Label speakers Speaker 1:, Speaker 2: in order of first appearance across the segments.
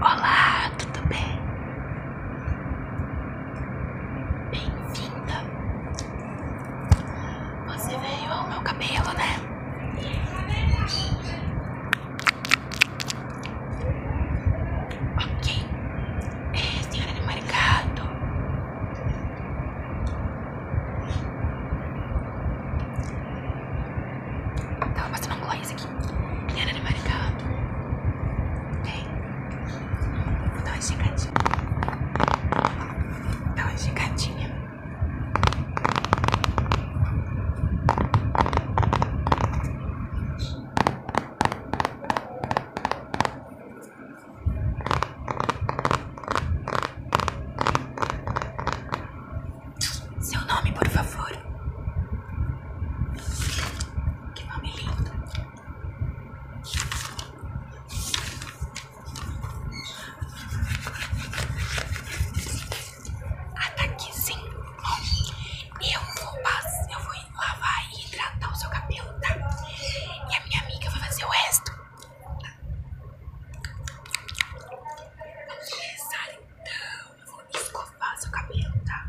Speaker 1: Olá, tudo bem? Bem-vinda. Você veio ao meu cabelo, né? Ok. É, senhora do mercado. Tava passando um gloss aqui. E era de Maricá. Tem. Vou dar uma esticadinha. Dá uma esticadinha. Tá seu nome, por favor. Que nome lindo. Ah, Eu vou, eu vou lavar e hidratar o seu cabelo, tá? E a minha amiga vai fazer o resto. Vamos começar então eu vou escovar seu cabelo, tá?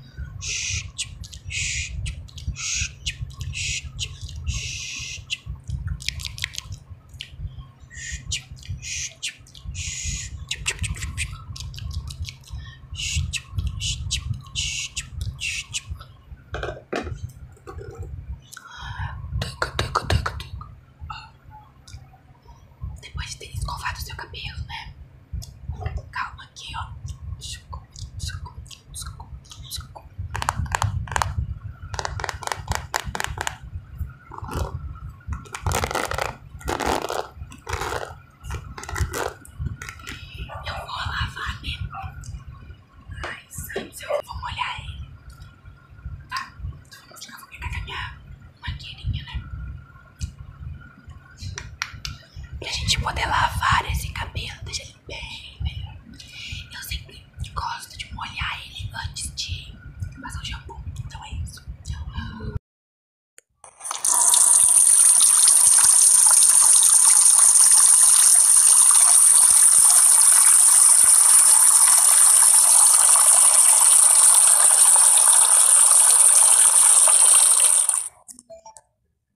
Speaker 1: Tyk, tyk, tyk, tyk. Depois de ter escovado o seu cabelo, né? Calma aqui, ó. Eu vou lavar, né? ai sai, eu vou molhar ele. Tá, então vamos lá, com pegar a minha mangueirinha, né? Pra gente poder lavar esse cabelo, deixar ele bem melhor. Eu sempre gosto de molhar ele antes de passar o shampoo. Então é isso. Tchau.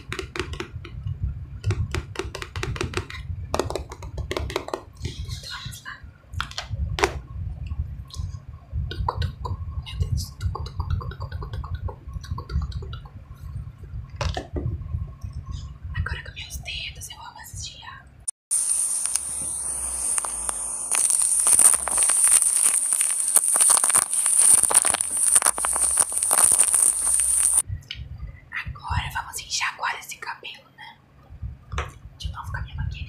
Speaker 1: Então vamos lá. Tuco, tuco. Meu Deus. Tuco, tuco, tuco, tuco, tuco, tuco, tuco, tuco, tuco, tuco. Agora com meus dedos eu vou assistir a... Agora vamos enxaguar esse cabelo, né? De novo com a minha maquininha.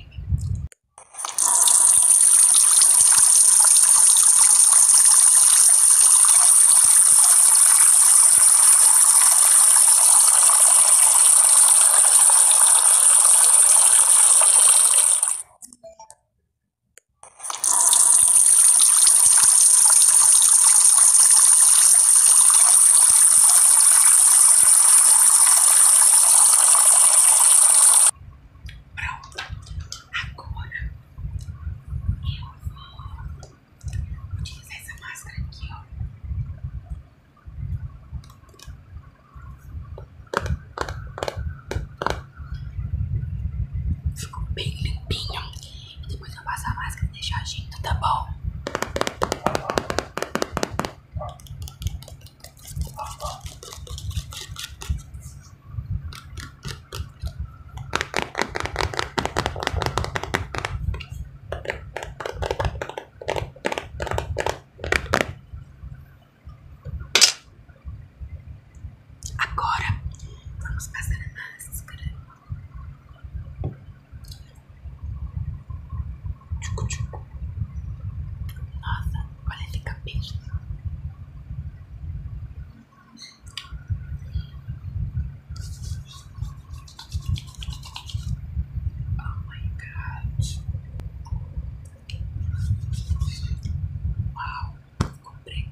Speaker 1: Pronto, agora eu vou utilizar essa máscara aqui, ó. Pronto. Ficou bem limpinho. E depois eu passo a máscara e deixo agindo, tá bom? Agora vamos passar a máscara. Tchucu, tchucu. Nossa, olha, esse cabelo. Oh my god. Uau, comprei.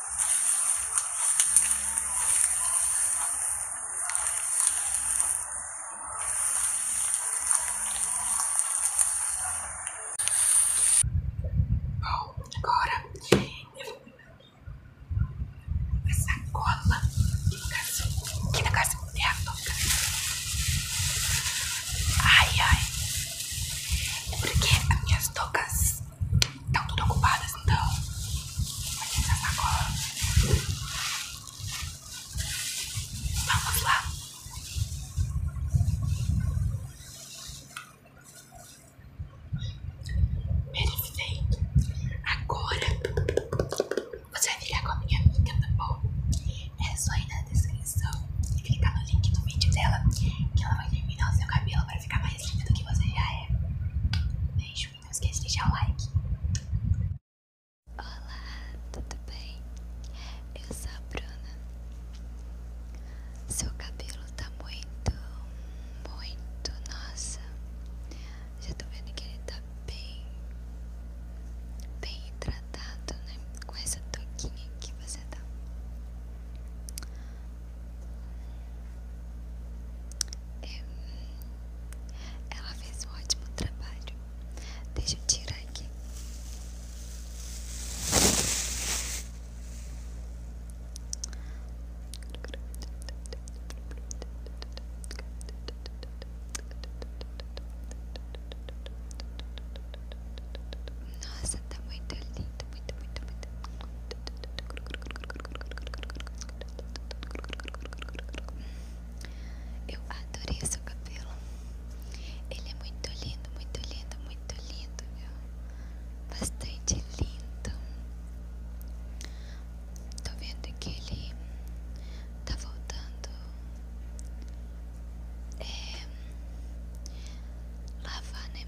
Speaker 1: bom Agora eu vou pegar essa cola que no caso, que no é a toca. Ai, ai. É porque as minhas tocas Estão tá tudo ocupadas assim, então. Vai ter essa sacola. Vamos lá. Perfeito. Agora você vai virar com a minha amiga, tá bom? É só ir na descrição e clicar no link do vídeo dela que ela vai terminar o seu cabelo ficar mais linda do que você já é. Beijo e não esquece de deixar o like. Olá, tudo bem? Eu sou a Bruna. Seu cabelo tá muito, muito, nossa. Já tô vendo que ele tá bem, bem hidratado, né? Com essa toquinha que você dá. É, ela fez um ótimo trabalho. Deixa eu tirar aqui. Nossa, tá muito lindo muito, muito, muito, Eu adorei seu cabelo. Ele é muito lindo, muito lindo, muito lindo, viu? Bastante lindo. Tô vendo que ele tá voltando é, lavar, né?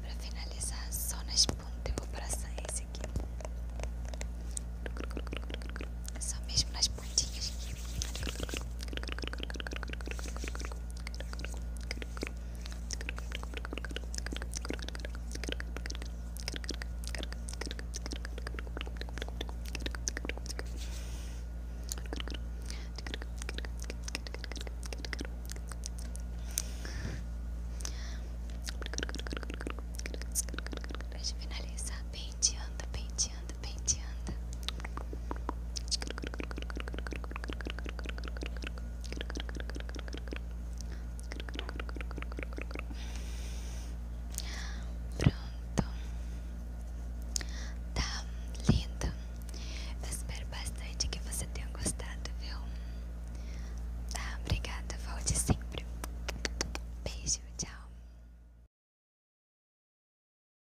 Speaker 1: Pra finalizar, só na esponja eu vou passar esse aqui. É só mesmo nas pontinhas aqui. Pra finalizar, penteando, penteando penteando, penteando. Pronto. Tá lindo. Eu espero bastante que você tenha gostado, viu? Tá, obrigada. Volte sempre. Beijo, tchau.